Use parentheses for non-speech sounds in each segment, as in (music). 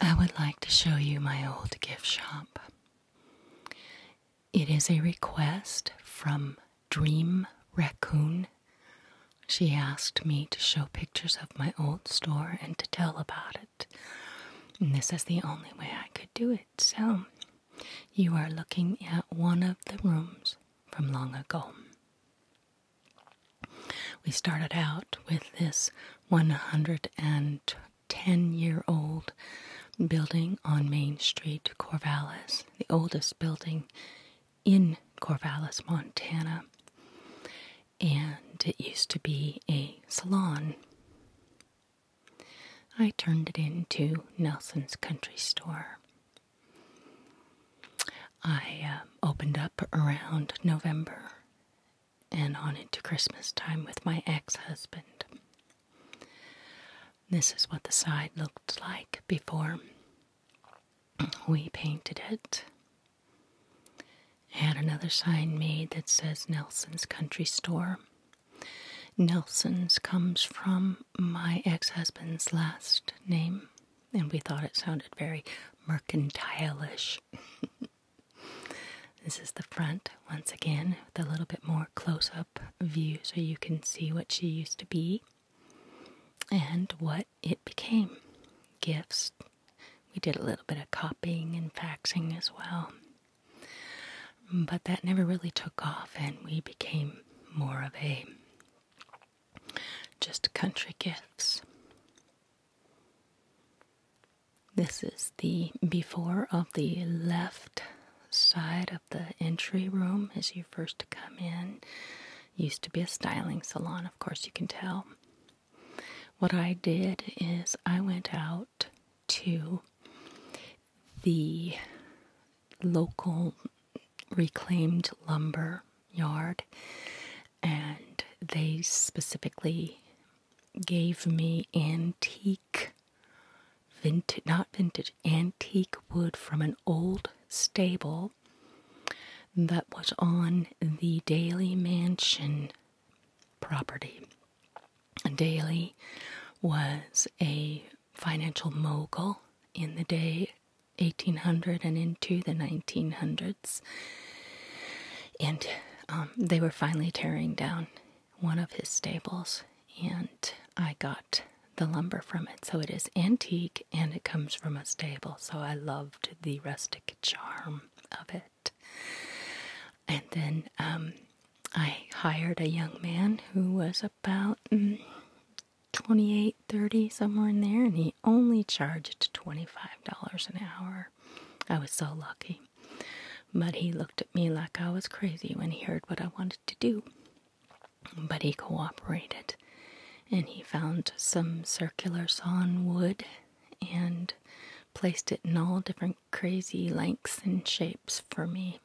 I would like to show you my old gift shop. It is a request from Dream Raccoon. She asked me to show pictures of my old store and to tell about it. And this is the only way I could do it. So, you are looking at one of the rooms from long ago. We started out with this 110 year old building on Main Street, Corvallis, the oldest building in Corvallis, Montana. And it used to be a salon. I turned it into Nelson's Country Store I uh, opened up around November and on into Christmas time with my ex husband. This is what the side looked like before we painted it. I had another sign made that says Nelson's Country Store. Nelson's comes from my ex husband's last name and we thought it sounded very mercantilish. (laughs) this is the front once again with a little bit more close up view so you can see what she used to be and what it became. Gifts. We did a little bit of copying and faxing as well. But that never really took off, and we became more of a just country gifts. This is the before of the left side of the entry room as you first come in. Used to be a styling salon, of course, you can tell. What I did is I went out to the local reclaimed lumber yard, and they specifically gave me antique vintage not vintage antique wood from an old stable that was on the Daly Mansion property. Daly was a financial mogul in the day 1800 and into the 1900s. And um, they were finally tearing down one of his stables, and I got the lumber from it. So it is antique and it comes from a stable. So I loved the rustic charm of it. And then um, I hired a young man who was a about mm, twenty-eight, thirty, somewhere in there and he only charged $25 an hour i was so lucky but he looked at me like i was crazy when he heard what i wanted to do but he cooperated and he found some circular sawn wood and placed it in all different crazy lengths and shapes for me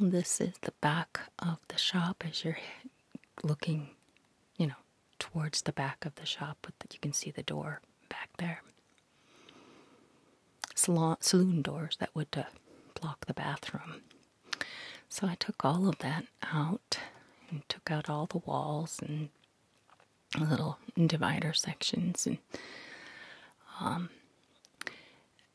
this is the back of the shop as you're looking, you know, towards the back of the shop, but you can see the door back there. Salon, saloon doors that would uh, block the bathroom. So I took all of that out and took out all the walls and little divider sections and um,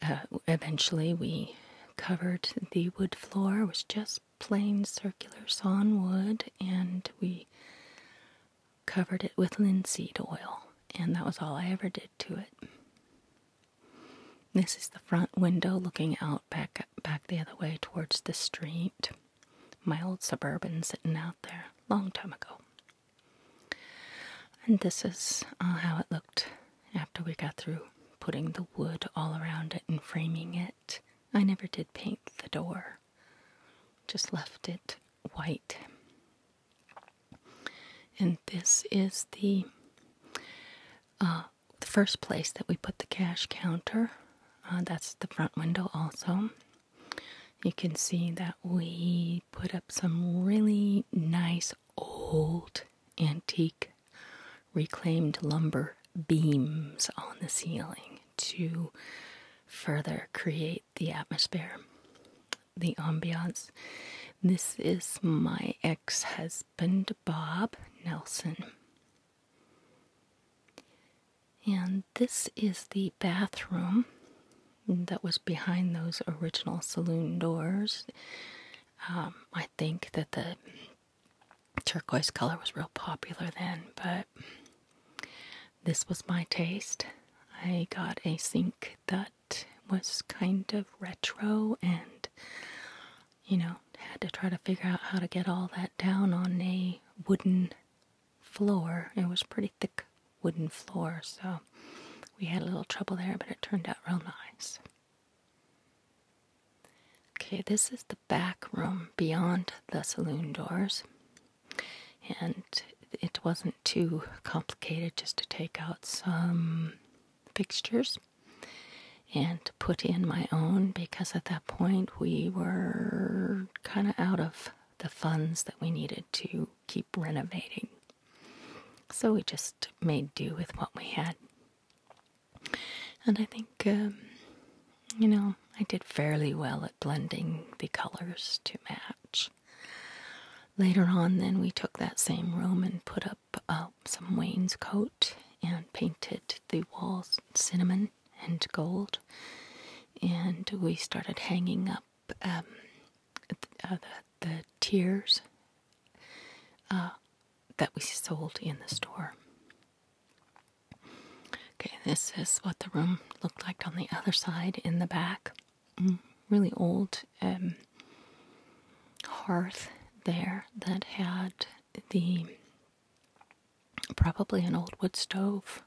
uh, eventually, we covered the wood floor. It was just plain circular sawn wood, and we covered it with linseed oil. And that was all I ever did to it. This is the front window looking out back back the other way towards the street. My old suburban sitting out there long time ago. And this is uh, how it looked after we got through putting the wood all around it and framing it, I never did paint the door, just left it white. And this is the, uh, the first place that we put the cash counter. Uh, that's the front window, also. You can see that we put up some really nice old antique reclaimed lumber beams on the ceiling to further create the atmosphere, the ambiance. This is my ex husband, Bob Nelson. And this is the bathroom that was behind those original saloon doors. Um, I think that the turquoise color was real popular then, but this was my taste. I got a sink that was kind of retro and, you know, had to try to figure out how to get all that down on a wooden floor. It was pretty thick wooden floor, so we had a little trouble there, but it turned out real nice. Okay, this is the back room beyond the saloon doors, and it wasn't too complicated just to take out some fixtures and put in my own because at that point we were kind of out of the funds that we needed to keep renovating. So we just made do with what we had. And I think, um, you know, I did fairly well at blending the colors to match. Later on, then we took that same room and put up uh, some wainscot and painted the walls cinnamon and gold. And we started hanging up um, uh, the, the tiers uh, that we sold in the store. Okay, this is what the room looked like on the other side in the back. Mm, really old um, hearth there that had the probably an old wood stove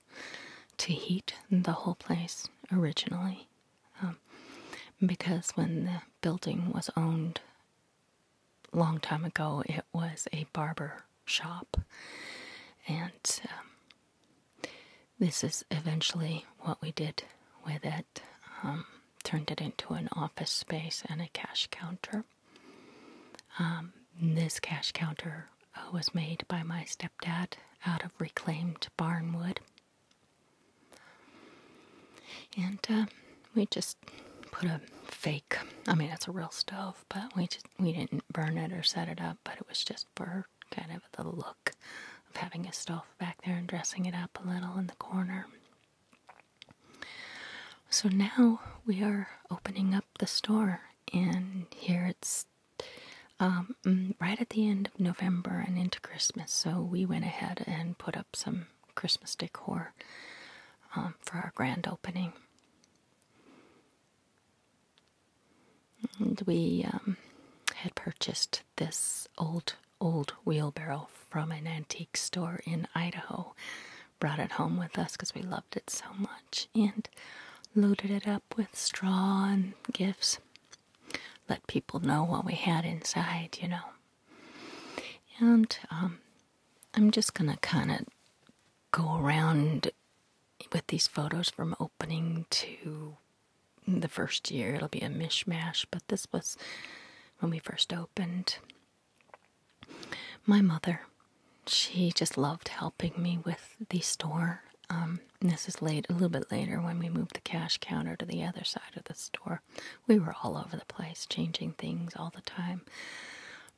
to heat the whole place originally. Um, because when the building was owned long time ago, it was a barber shop, and um, this is eventually what we did with it. Um, turned it into an office space and a cash counter. this cash counter uh, was made by my stepdad out of reclaimed barn wood. And uh, we just put a fake, I mean, it's a real stove, but we just, we didn't burn it or set it up, but it was just for kind of the look of having a stove back there and dressing it up a little in the corner. So now we are opening up the store, and here it's um, mm, right at the end of November and into Christmas. So we went ahead and put up some Christmas decor um, for our grand opening. And we um, had purchased this old, old wheelbarrow from an antique store in Idaho. Brought it home with us because we loved it so much and loaded it up with straw and gifts. Let people know what we had inside, you know. And um, I'm just gonna kind of go around with these photos from opening to the first year. It'll be a mishmash, but this was when we first opened. My mother, she just loved helping me with the store. Um, this is late a little bit later when we moved the cash counter to the other side of the store we were all over the place, changing things all the time.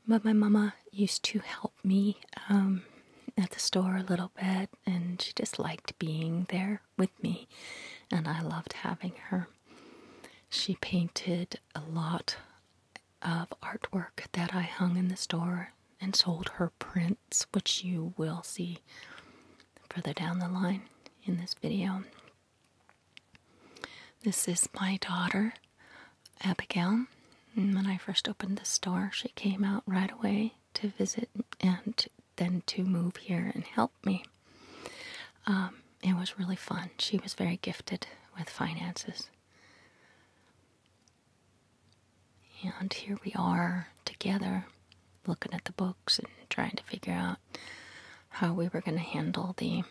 But my mama used to help me um, at the store a little bit, and she just liked being there with me, and I loved having her. She painted a lot of artwork that I hung in the store and sold her prints, which you will see further down the line in this video. This is my daughter, Abigail. when I first opened the store, she came out right away to visit and then to move here and help me. Um, it was really fun. She was very gifted with finances. And here we are together looking at the books and trying to figure out how we were going to handle the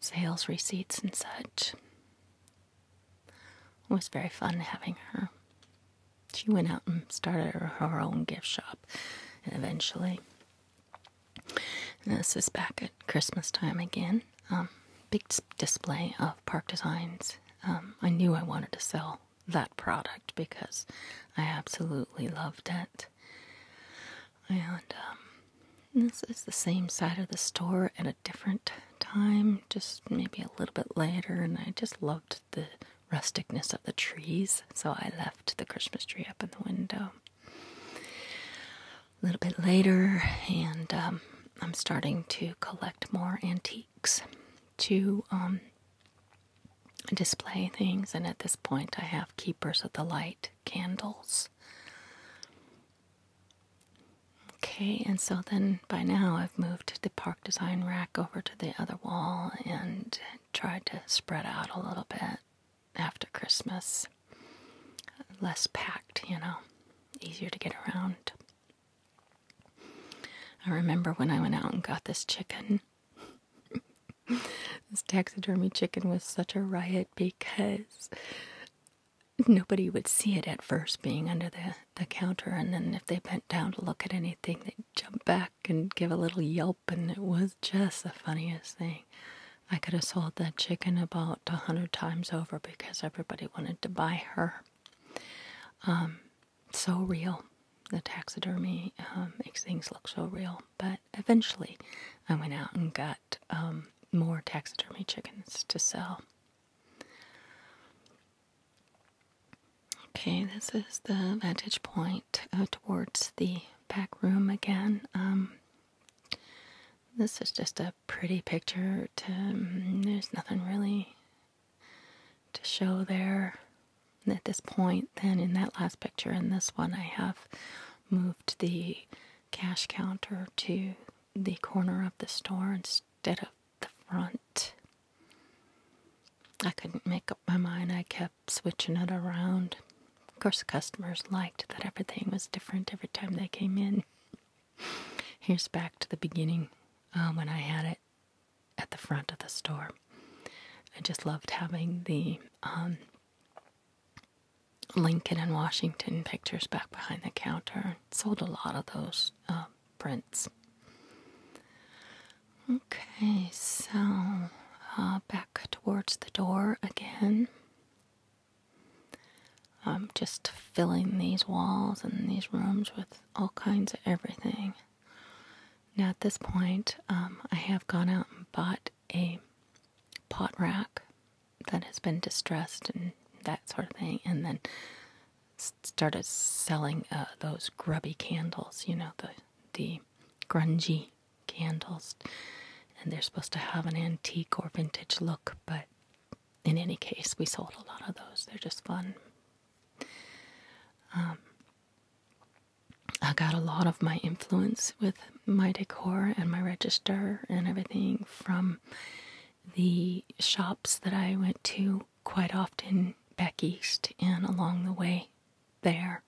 sales receipts and such. It was very fun having her. She went out and started her, own gift shop, and eventually, this is back at Christmas time again. Um, big display of Park Designs. Um, I knew I wanted to sell that product because I absolutely loved it. And um, this is the same side of the store at a different time, just maybe a little bit later. And I just loved the rusticness of the trees, so I left the Christmas tree up in the window. A little bit later, and um, I'm starting to collect more antiques to um, display things, and at this point, I have Keepers of the Light candles. Okay, and so then by now I've moved the park design rack over to the other wall and tried to spread out a little bit after Christmas. Less packed, you know, easier to get around. I remember when I went out and got this chicken. (laughs) this taxidermy chicken was such a riot because nobody would see it at first being under the, counter, and then if they bent down to look at anything, they'd jump back and give a little yelp, and it was just the funniest thing. I could have sold that chicken about a hundred times over because everybody wanted to buy her. Um, so real. The taxidermy um, makes things look so real. But eventually, I went out and got um, more taxidermy chickens to sell. Okay, this is the vantage point uh, towards the back room again. Um, this is just a pretty picture. Mm, there's nothing really to show there. at this point, then in that last picture and this one, I have moved the cash counter to the corner of the store instead of the front. I couldn't make up my mind. I kept switching it around. Of course, customers liked that everything was different every time they came in. (laughs) Here's back to the beginning uh, when I had it at the front of the store. I just loved having the um, Lincoln and Washington pictures back behind the counter. Sold a lot of those um, prints. Okay, so uh, back towards the door again. I'm just filling these walls and these rooms with all kinds of everything. Now, at this point, um, I have gone out and bought a pot rack that has been distressed and that sort of thing, and then started selling uh, those grubby candles, you know, the, grungy candles. And they're supposed to have an antique or vintage look, but in any case, we sold a lot of those. They're just fun. Um, I got a lot of my influence with my decor and my register and everything from the shops that I went to quite often back east and along the way there.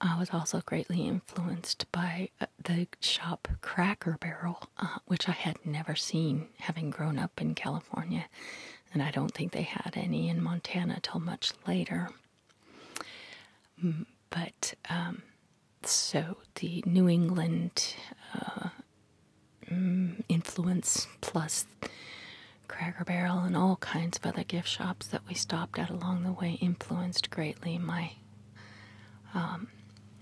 I was also greatly influenced by uh, the shop Cracker Barrel, uh, which I had never seen having grown up in California and I don't think they had any in Montana till much later. But um, so the New England uh, mm, influence plus Cracker Barrel and all kinds of other gift shops that we stopped at along the way influenced greatly my um,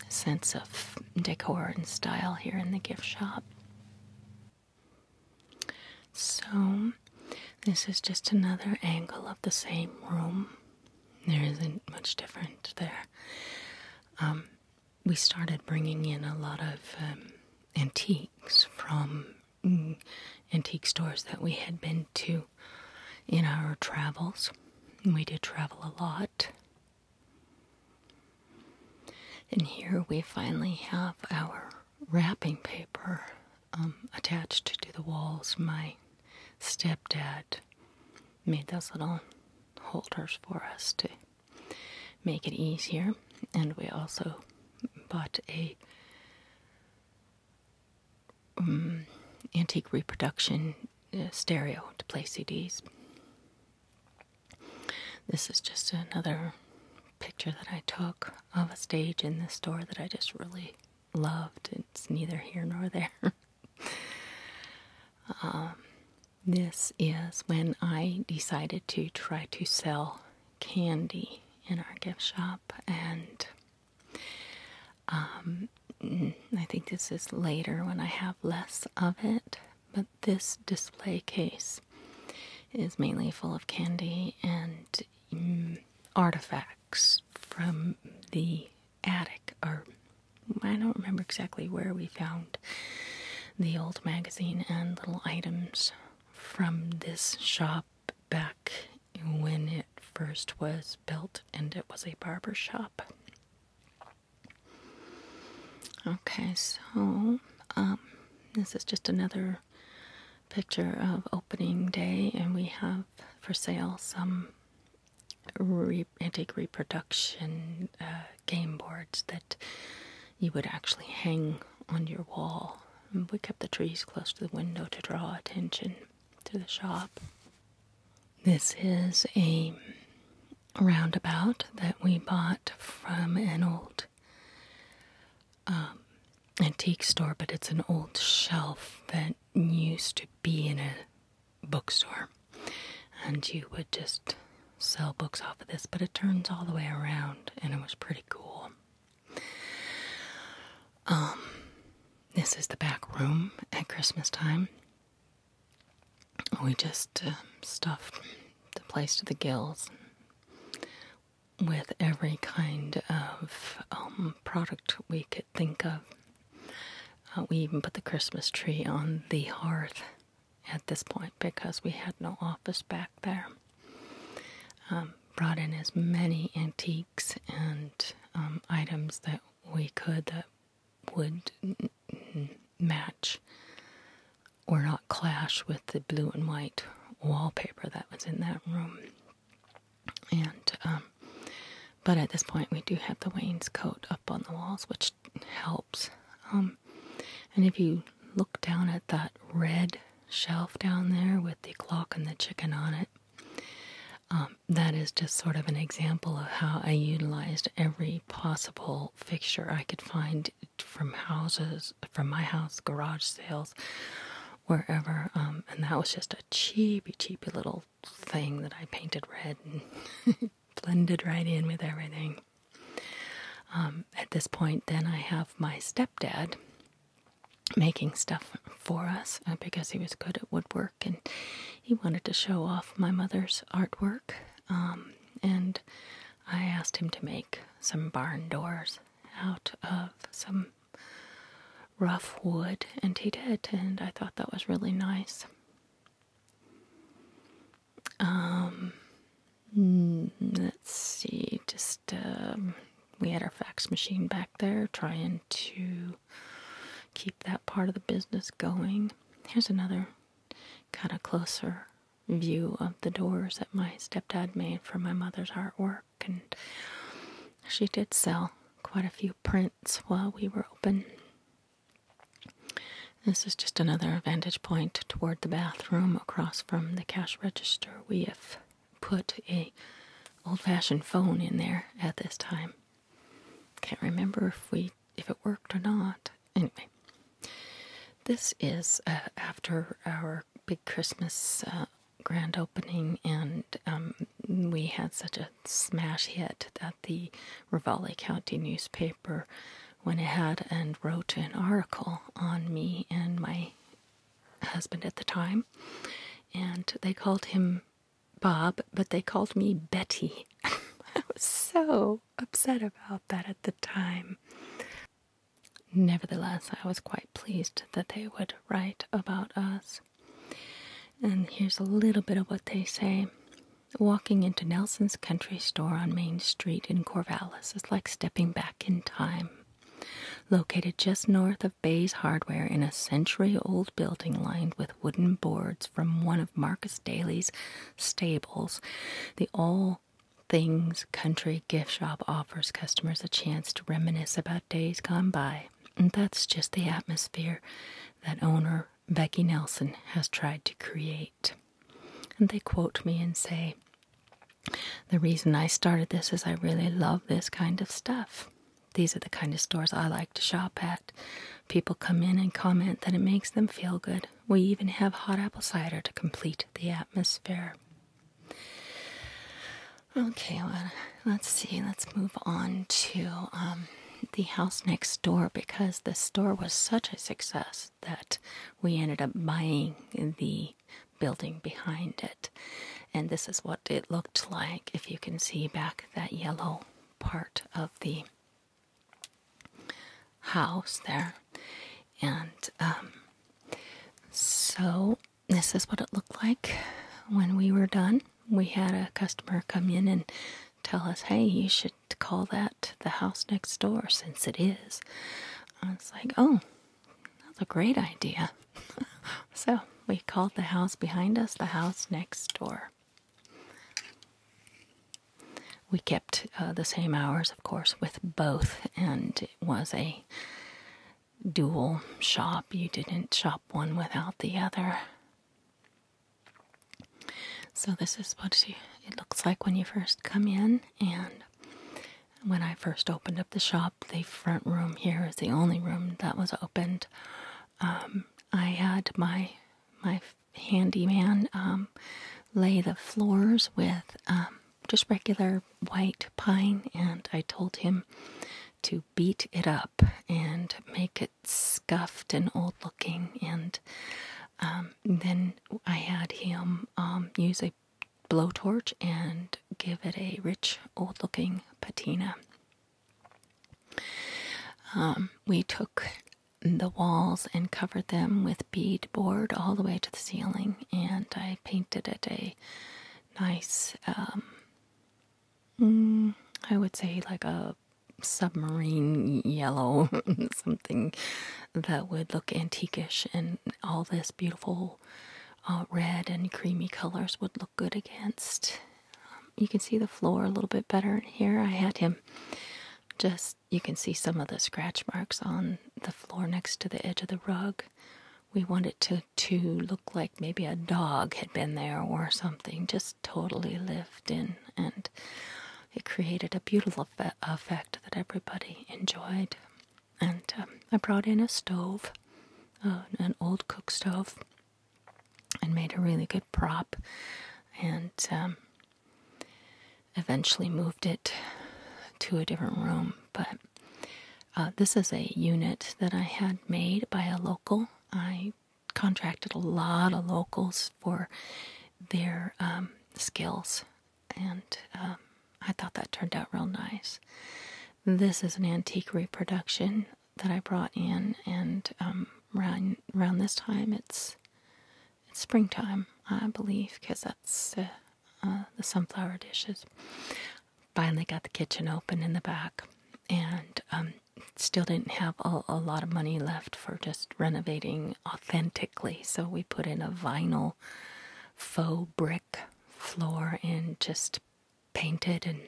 sense of decor and style here in the gift shop. So, this is just another angle of the same room. There isn't much different there. Um, we started bringing in a lot of um, antiques from mm, antique stores that we had been to in our travels. We did travel a lot. And here we finally have our wrapping paper um, attached to the walls. My stepdad made those little holders for us to make it easier, and we also bought a um, antique reproduction uh, stereo to play CDs. This is just another picture that I took of a stage in the store that I just really loved. It's neither here nor there. (laughs) Um, this is when I decided to try to sell candy in our gift shop, and um, I think this is later when I have less of it. But this display case house is mainly full of candy and mm, artifacts from the attic, or I don't remember exactly where we found the old magazine and little items from this shop back when it first was built and it was a barber shop. Okay, so um, this is just another picture of opening day, and we have for sale some antique reproduction uh, game boards that you would actually hang on your wall. we kept the trees close to the window to draw attention to the shop. This is a roundabout that we bought from an old um, antique store, but it's an old shelf that used to be in a bookstore. And you would just sell books off of this, but it turns all the way around, and it was pretty cool. Um, this is the back room at Christmas time. We just uh, stuffed the place to the gills with every kind of um, product we could think of. Uh, we even put the Christmas tree on the hearth at this point because we had no office back there. Um, brought in as many antiques and um, items that we could that would match or not clash with the blue and white wallpaper that was in that room. And, um, but at this point, we do have the wainscot up on the walls, which helps. Um, and if you look down at that red shelf down there with the clock and the chicken on it, um, that is just sort of an example of how I utilized every possible fixture I could find from houses, from my house, garage sales, wherever. Um, and that was just a cheapy, cheapy little thing that I painted red and (laughs) blended right in with everything. Um, at this point, then I have my stepdad making stuff for us uh, because he was good at woodwork and he wanted to show off my mother's artwork. Um, and I asked him to make some barn doors out of some rough wood, and he did, and I thought that was really nice. Um, mm, let's see, just um, we had our fax machine back there trying to keep that part of the business going. Here's another kind of closer view of the doors that my stepdad made for my mother's artwork. And she did sell quite a few prints while we were open. This is just another vantage point toward the bathroom across from the cash register. We have put a old-fashioned phone in there at this time. Can't remember if we if it worked or not. Anyway, this is uh, after our big Christmas uh, grand opening, and um, we had such a smash hit that the Ravalli County newspaper went ahead and wrote an article on me and my husband at the time, and they called him Bob, but they called me Betty. (laughs) I was so upset about that at the time. Nevertheless, I was quite pleased that they would write about us. And here's a little bit of what they say. Walking into Nelson's country store on Main Street in Corvallis is like stepping back in time. Located just north of Bay's Hardware in a century old building lined with wooden boards from one of Marcus Daly's stables, the all Things Country Gift Shop offers customers a chance to reminisce about days gone by, and that's just the atmosphere that owner Becky Nelson has tried to create. And they quote me and say, The reason I started this is I really love this kind of stuff. These are the kind of stores I like to shop at. People come in and comment that it makes them feel good. We even have hot apple cider to complete the atmosphere. Okay, well, let's see. Let's move on to um, the house next door because the store was such a success that we ended up buying the building behind it. And this is what it looked like if you can see back that yellow part of the house there. And um, so this is what it looked like when we were done. We had a customer come in and tell us, hey, you should call that the house next door since it is. I was like, oh, that's a great idea. (laughs) so we called the house behind us the house next door. We kept uh, the same hours, of course, with both, and it was a dual shop. You didn't shop one without the other. So, this is what it looks like when you first come in. And when I first opened up the shop, the front room here is the only room that was opened. Um, I had my my handyman um, lay the floors with um, just regular white pine, and I told him to beat it up and make it scuffed and old looking. And um, then I had him um, use a blowtorch and give it a rich, old looking patina. Um, we took the walls and covered them with beadboard all the way to the ceiling, and I painted it a nice, um, mm, I would say like a submarine yellow, (laughs) something that would look antiquish, and all this beautiful uh, red and creamy colors would look good against. Um, you can see the floor a little bit better here. I had him just you can see some of the scratch marks on the floor next to the edge of the rug. We wanted it to, to look like maybe a dog had been there or something, just totally lived in. And it created a beautiful effect that everybody enjoyed. And um, I brought in a stove, uh, an old cook stove, and made a really good prop. And um, eventually moved it to a different room. But uh, this is a unit that I had made by a local. I contracted a lot of locals for their um, skills, and um, I thought that turned out real nice. This is an antique reproduction that I brought in, and um, around this time, it's it's springtime, I believe, because that's uh, uh, the sunflower dishes. Finally got the kitchen open in the back, and um, still didn't have a, lot of money left for just renovating authentically. So we put in a vinyl faux brick floor and just painted and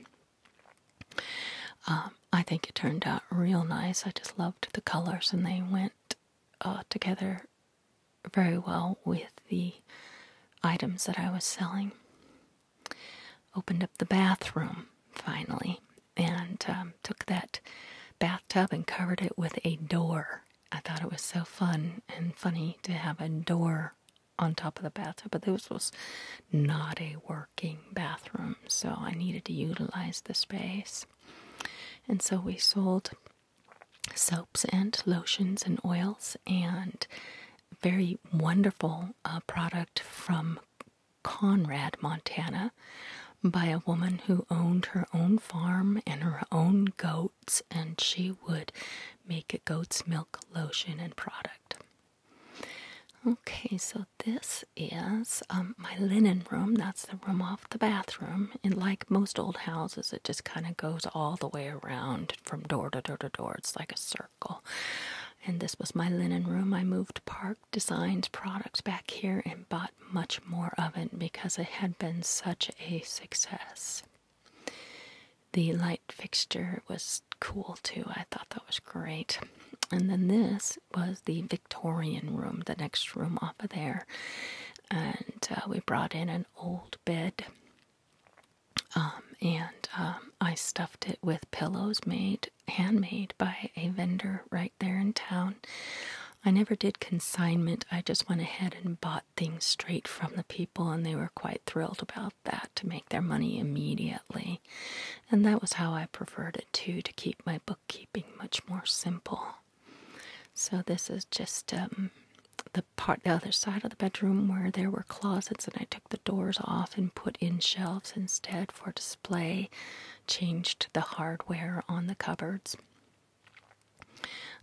um, I think it turned out real nice. I just loved the colors and they went uh, together very well with the items that I was selling. Opened up the bathroom finally and um, took that bathtub and covered it with a door. I thought it was so fun and funny to have a door on top of the bathtub, but this was not a working bathroom, so I needed to utilize the space. And so we sold soaps and lotions and oils, and very wonderful uh, product from Conrad, Montana, by a woman who owned her own farm and her own goats, and she would make a goat's milk lotion and product. Okay, so this is um, my linen room. That's the room the bathroom, and like most old houses, it just kind of goes all the way around from door to door to door. It's like a circle. And this was my linen room. I moved Park Designs products back here and bought much more of it because it had been such a success. The light fixture was cool too. I thought that was great. And then this was the Victorian room, the next room off of there. And uh, we brought in an old bed. Um, and um, I stuffed it with pillows made handmade by a vendor right there in town. I never did consignment. I just went ahead and bought things straight from the people, and they were quite thrilled about that to make their money immediately. And that was how I preferred it too, to keep my bookkeeping much more simple. So this is just um, the other side of the bedroom where there were closets, and I took the doors off and put in shelves instead for display. Changed the hardware on the cupboards.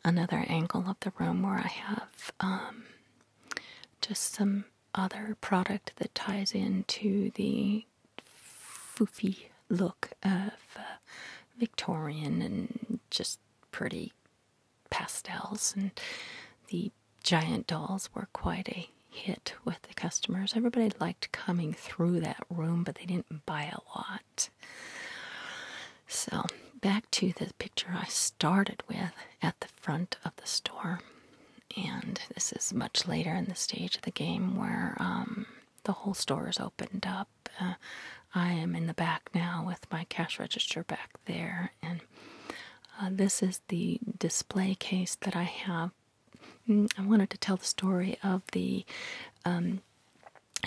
Another angle of the room where I have um, just some other product that ties into the foofy look of uh, Victorian and just pretty pastels, and the giant dolls were quite a hit with the customers. Everybody liked coming through that room, but they didn't buy a lot. So, back to the picture I started with at the front of the store. And this is much later in the stage of the game where um, the whole store is opened up uh, I am in the back now with my cash register back there, and uh, this is the display case that I have. Mm, I wanted to tell the story of the um,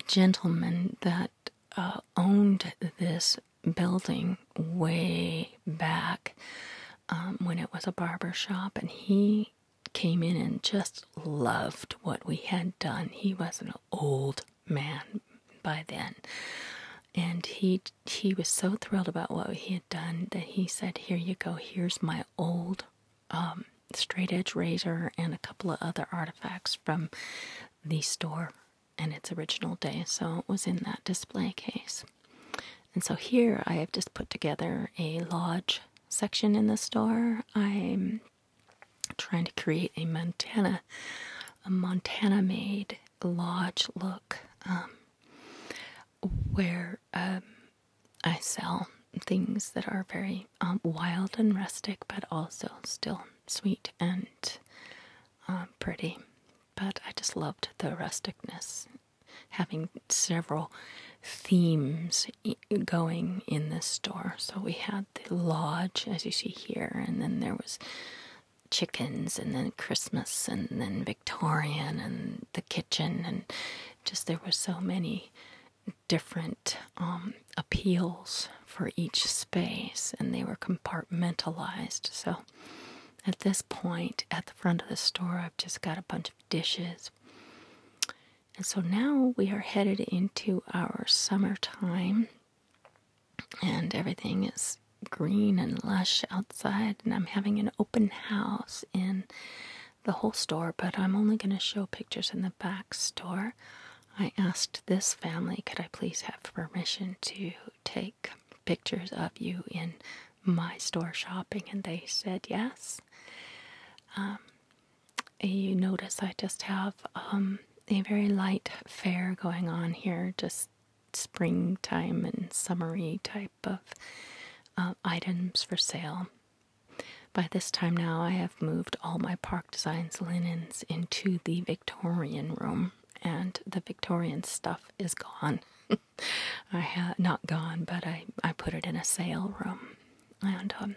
gentleman that uh, owned this building way back um, when it was a barber shop, and he came in and just loved what we had done. He was not an old man by then. And he he was so thrilled about what he had done that he said, "Here you go. Here's my old um, straight edge razor and a couple of other artifacts from the store and its original day." So it was in that display case. And so here I have just put together a lodge section in the store. I'm trying to create a Montana, a Montana made lodge look um, where um, I sell things that are very um, wild and rustic, but also still sweet and pretty. But I just loved the rusticness, having several themes going in this store. So we had the lodge, as you see here, and then there was chickens, and then Christmas, and then Victorian, and the kitchen, and just there were so many different um, appeals for each space, and they were compartmentalized. So at this point, at the front of the store, I've just got a bunch of dishes. And so now we are headed into our summertime, and everything is green and lush outside. And I'm having an open house in the whole store, but I'm only going to show pictures in the back store. I asked this family, could I please have permission to take pictures of you in my store shopping? And they said yes. Um, you notice I just have um, a very light fair going on here, just springtime and summery type of um, items for sale. By this time now, I have moved all my Park Designs linens into the Victorian room, and the Victorian stuff is gone. (laughs) I had not gone, but I, I put it in a sale room, and um,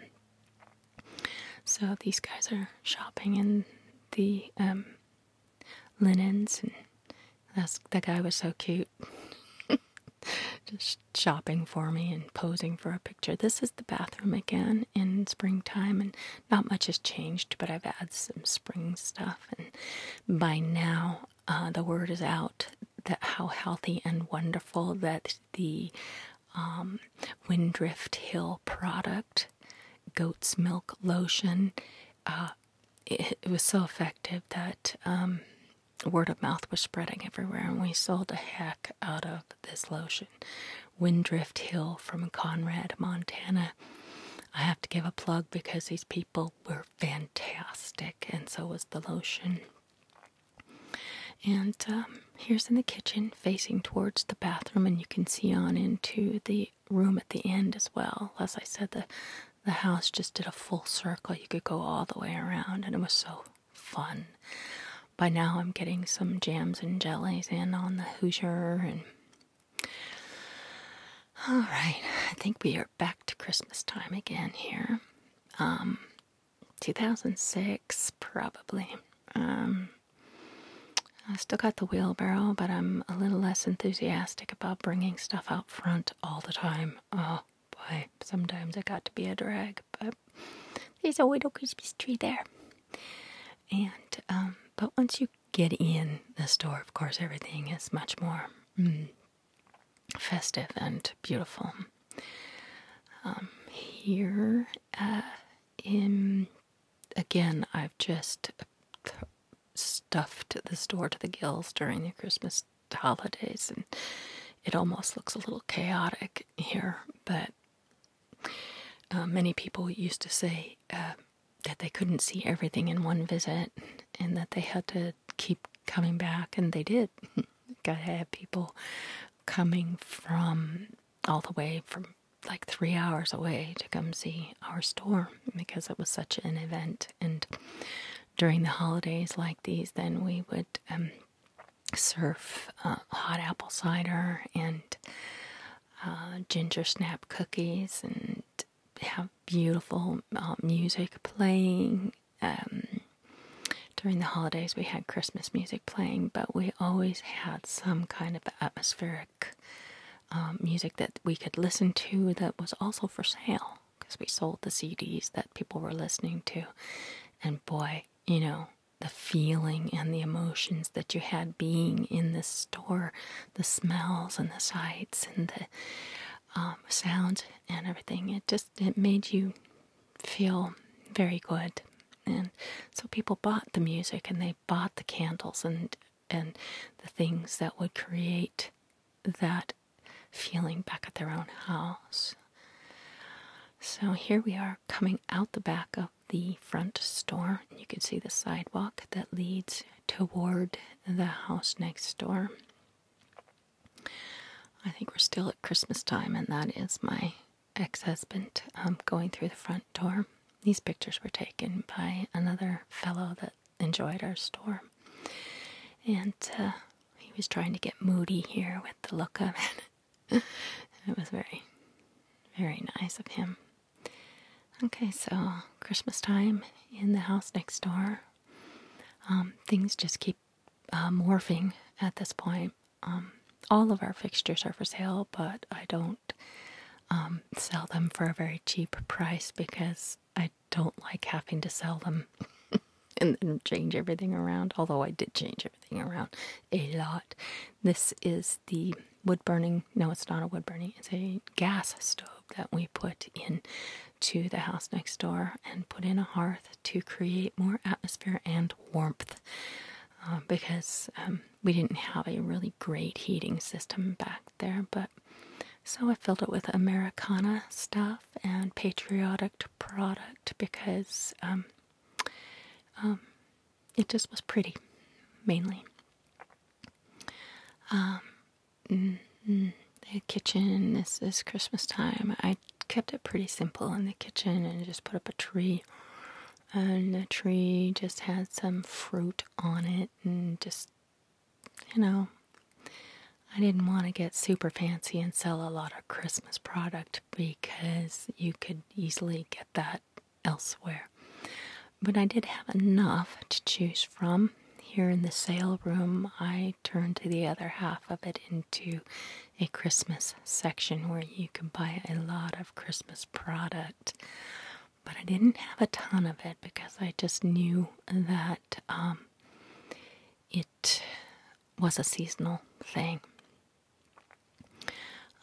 so these guys are shopping in the um, linens, and that's, that guy was so cute. (laughs) Just shopping for me and posing for a picture. This is the bathroom again in springtime, and not much has changed, but I've added some spring stuff. And by now, uh, the word is out that how healthy and wonderful that the um, Windrift Hill product, goat's milk lotion. Uh, it, was so effective that um, word of mouth was spreading everywhere, and we sold a heck out of this lotion. Windrift Hill from Conrad, Montana. I have to give a plug because these people were fantastic, and so was the lotion. And um, here's in the kitchen facing towards the bathroom, and you can see on into the room at the end as well. As I said, the the house just did a full circle. You could go all the way around, and it was so fun. By now, I'm getting some jams and jellies in on the Hoosier, and all right, I think we are back to Christmas time again here. Um, 2006, probably. Um, I still got the wheelbarrow, but I'm a little less enthusiastic about bringing stuff out front all the time. Oh boy, sometimes it got to be a drag, but there's a little Christmas tree there. And, um, but once you get in the store, of course, everything is much more mm, festive and beautiful. Um, here uh, in again, I've just stuffed the store to the gills during the Christmas holidays, and it almost looks a little chaotic here. But uh, many people used to say uh, that they couldn't see everything in one visit, and that they had to keep coming back, and they did. I (laughs) have people coming from all the way from like three hours away to come see our store because it was such an event. And during the holidays like these, then we would um, serve uh, hot apple cider and uh, ginger snap cookies and have beautiful uh, music playing. Um, during the holidays we had Christmas music playing, but we always had some kind of atmospheric um, music that we could listen to that was also for sale because we sold the CDs that people were listening to. And boy, you know, the feeling and the emotions that you had being in this store, the smells and the sights and the um, sounds and everything, it just it made you feel very good. And so people bought the music and they bought the candles and and the things that would create that feeling back at their own house. So here we are coming out the back of the front store. You can see the sidewalk that leads toward the house next door. I think we're still at Christmas time, and that is my ex husband um, going through the front door. These pictures were taken by another fellow that enjoyed our store. And uh, he was trying to get moody here with the look of it. (laughs) it was very, very nice of him. Okay, so Christmas time in the house next door. Um, things just keep uh, morphing at this point. Um, all of our fixtures are for sale, but I don't um, sell them for a very cheap price because I don't like having to sell them (laughs) and then change everything around. Although I did change everything around a lot. This is the wood burning, no, it's not a wood burning, it's a gas stove that we put in to the house next door and put in a hearth to create more atmosphere and warmth. Uh, because um, we didn't have a really great heating system back there. But so I filled it with Americana stuff and patriotic product because um, um, it just was pretty, mainly. Mm, mm, the kitchen. This is Christmas time. I kept it pretty simple in the kitchen and just put up a tree. And the tree just had some fruit on it, and just, you know, I didn't want to get super fancy and sell a lot of Christmas product because you could easily get that elsewhere. But I did have enough to choose from. Here in the sale room, I turned the other half of it into a Christmas section where you could buy a lot of Christmas product. But I didn't have a ton of it because I just knew that um, it was a seasonal thing.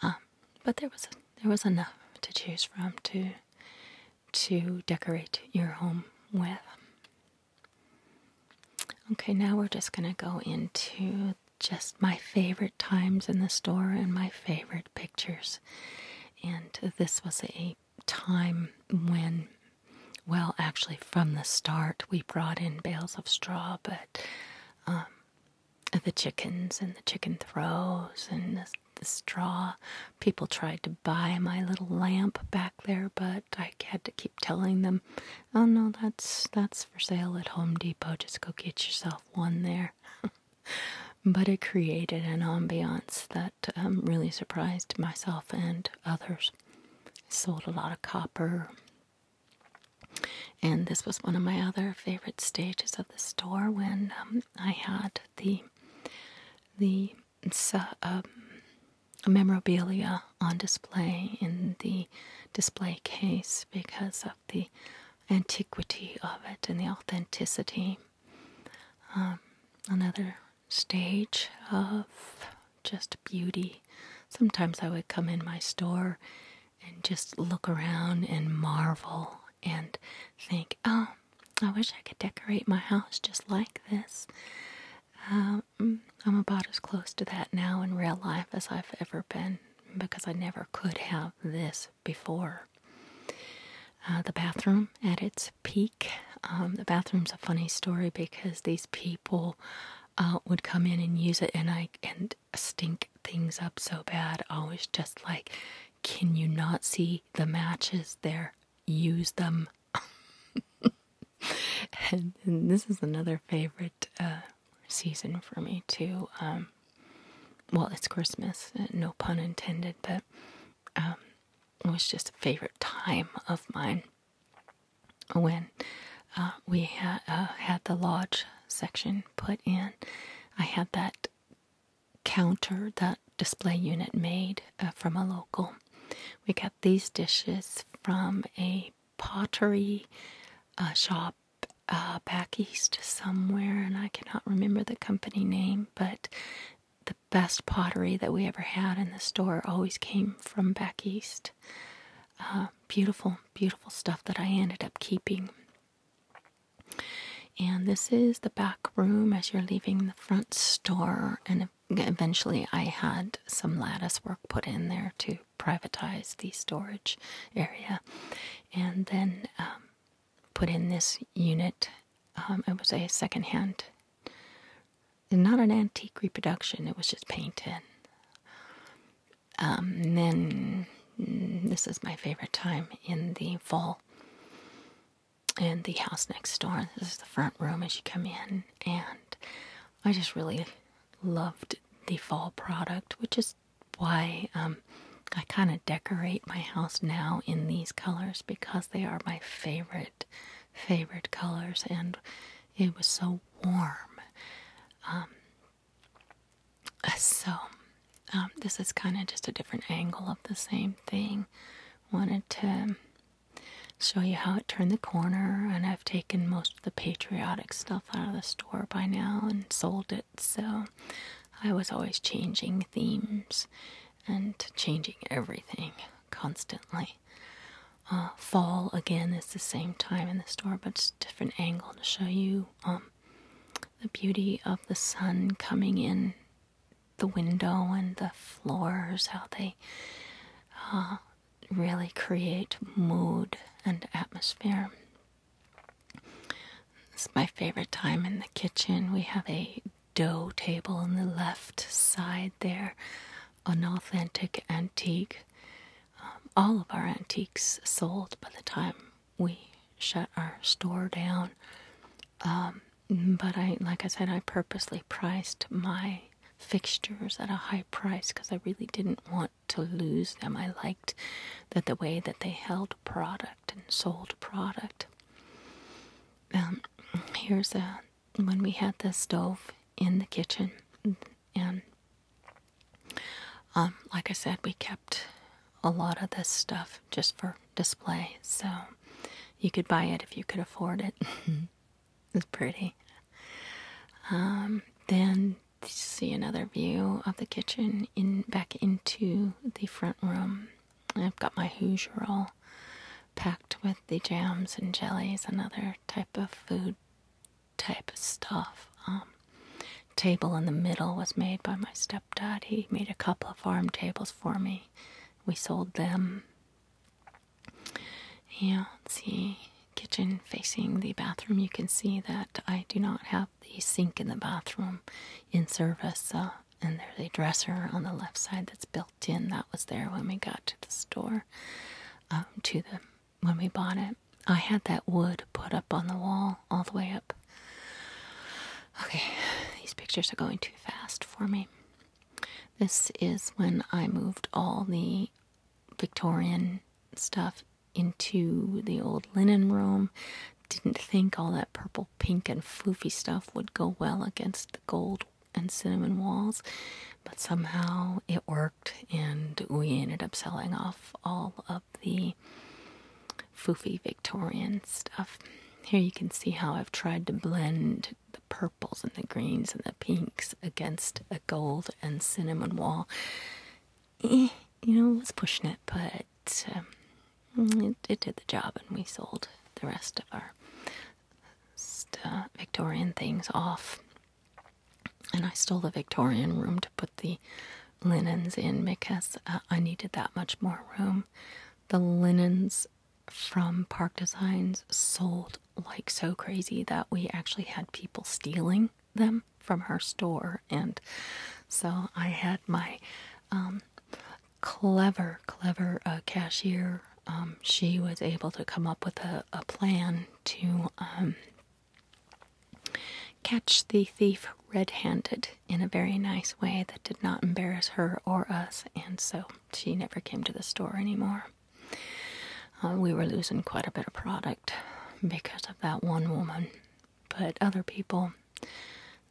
Um, but there was there was enough to choose from to to decorate your home with. Okay, now we're just going to go into just my favorite times in the store and my favorite pictures. And this was a time when, well, actually, from the start, we brought in bales of straw, but um, the chickens and the chicken throws and the straw. People tried to buy my little lamp back there, but I had to keep telling them, "Oh no, that's that's for sale at Home Depot. Just go get yourself one there. (laughs) but it created an ambiance that um, really surprised myself and others. Sold a lot of copper. And this was one of my other favorite stages of the store when um, I had the the um, memorabilia on display in the display case because of the antiquity of it and the authenticity. Um, another stage of just beauty. Sometimes I would come in my store and just look around and marvel and think, oh, I wish I could decorate my house just like this. Uh, mm, I'm about as close to that now in real life as I've ever been because I never could have this before. Uh, the bathroom at its peak. Um, the bathroom's a funny story because these people uh, would come in and use it, and I and stink things up so bad. I was just like, "Can you not see the matches there? Use them." (laughs) and, this is another favorite uh, season for me to um, well it's Christmas, uh, no pun intended, but um, it was just a favorite time of mine when uh, we had uh, had the lodge section put in. I had that counter, that display unit made from a local. We got these dishes from a pottery shop uh, back east somewhere, and I cannot remember the company name, but the best pottery that we ever had in the store always came from back east. Uh, beautiful, beautiful stuff that I ended up keeping. And this is the back room as you're leaving the front store. And eventually, I had some lattice work put in there too privatize the storage area and then um, put in this unit. Um, it was a secondhand, not an antique reproduction, it was just painted. Um, and then mm, this is my favorite time in the fall. In the house next door. This is the front room as you come in, and I just really loved the fall product, which is why um, I kind of decorate my house now in these colors because they are my favorite, favorite colors, and it was so warm. Um, so, um, this is kind of just a different angle of the same thing. Wanted to show you how it turned the corner, and I've taken most the patriotic stuff out of the store by now and sold it, so I was always changing themes and changing everything constantly. Uh, fall again is the same time in the store, but it's a different angle to show you um, the beauty of the sun coming in the window and the floors, how they uh, really create mood and atmosphere. This is my favorite time in the kitchen. We have a dough table on the left side there, an authentic antique. Um, all of our antiques sold by the time we shut our store down. Um, but I, like I said, I purposely priced my fixtures at a high price because I really didn't want to lose them. I liked that the way that they held product and sold product. Um, here's a when we had the stove in the kitchen, and um, like I said, we kept a lot of this stuff just for display. So you could buy it if you could afford it. (laughs) it's pretty. Um, then to see another view of the kitchen in back into the front room. I've got my Hoosier all packed with the jams and jellies and other type of food type of stuff. Um, table in the middle was made by my stepdad. He made a couple of farm tables for me. We sold them. Yeah, see kitchen facing the bathroom, you can see that I do not have the sink in the bathroom in service. Uh, and there's a dresser on the left side that's built in. That was there when we got to the store, um, to the when we bought it. I had that wood put up on the wall all the way up. Okay, these pictures are going too fast for me. This is when I moved all the Victorian stuff into the old linen room. Didn't think all that purple, pink, and foofy stuff would go well against the gold and cinnamon walls, but somehow it worked, and we ended up selling off all of the foofy Victorian stuff. Here you can see how I've tried to blend the purples and the greens and the pinks against the gold and cinnamon wall you know, was pushing it, but um, it, did the job, and we sold the rest of our uh, Victorian things off. And I stole the Victorian room to put the linens in because uh, I needed that much more room. The linens from Park Designs sold like so crazy that we actually had people stealing them from her store and so I had my um, clever clever uh, cashier um, she was able to come up with a, plan to um, catch the thief red-handed in a very nice way that did not embarrass her or us and so she never came to the store anymore uh, we were losing quite a bit of product because of that one woman, but other people,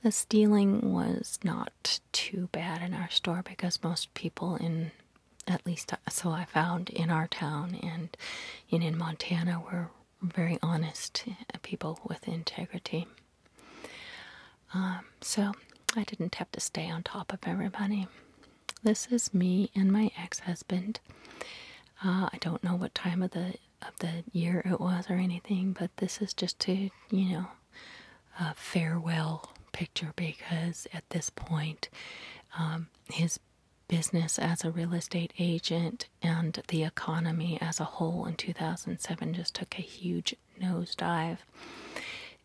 the stealing was not too bad in our store because most people in at least uh, so I found in our town and in in Montana were very honest uh, people with integrity. Um, so I didn't have to stay on top of everybody. This is me and my ex-husband. Uh, I don't know what time of the of the year it was or anything, but this is just to you know a farewell picture because at this point um, his business as a real estate agent and the economy as a whole in 2007 just took a huge nosedive.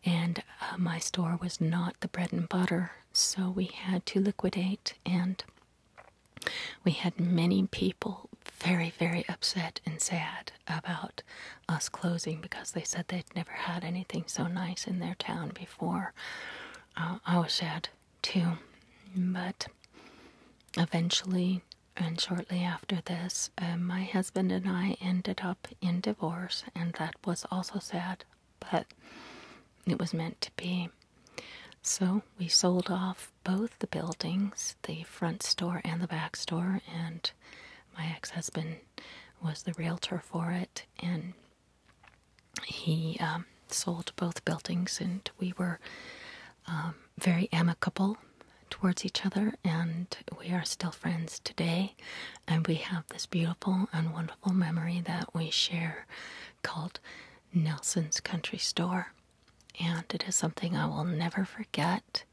And uh, my store was not the bread and butter, so we had to liquidate and we had many people very, very upset and sad about us closing because they said they'd never had anything so nice in their town before. Uh, I was sad too, but eventually and shortly after this, uh, my husband and I ended up in divorce, and that was also sad but it was meant to be. So we sold off both the buildings, the front store and the back store, and my ex husband was the realtor for it, and he um, sold both buildings, and we were um, very amicable towards each other, and we are still friends today, and we have this beautiful and wonderful memory that we share called Nelson's Country Store, and it is something I will never forget.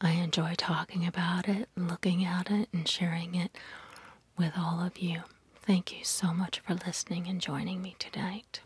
I enjoy talking about it, looking at it, and sharing it with all of you. Thank you so much for listening and joining me tonight.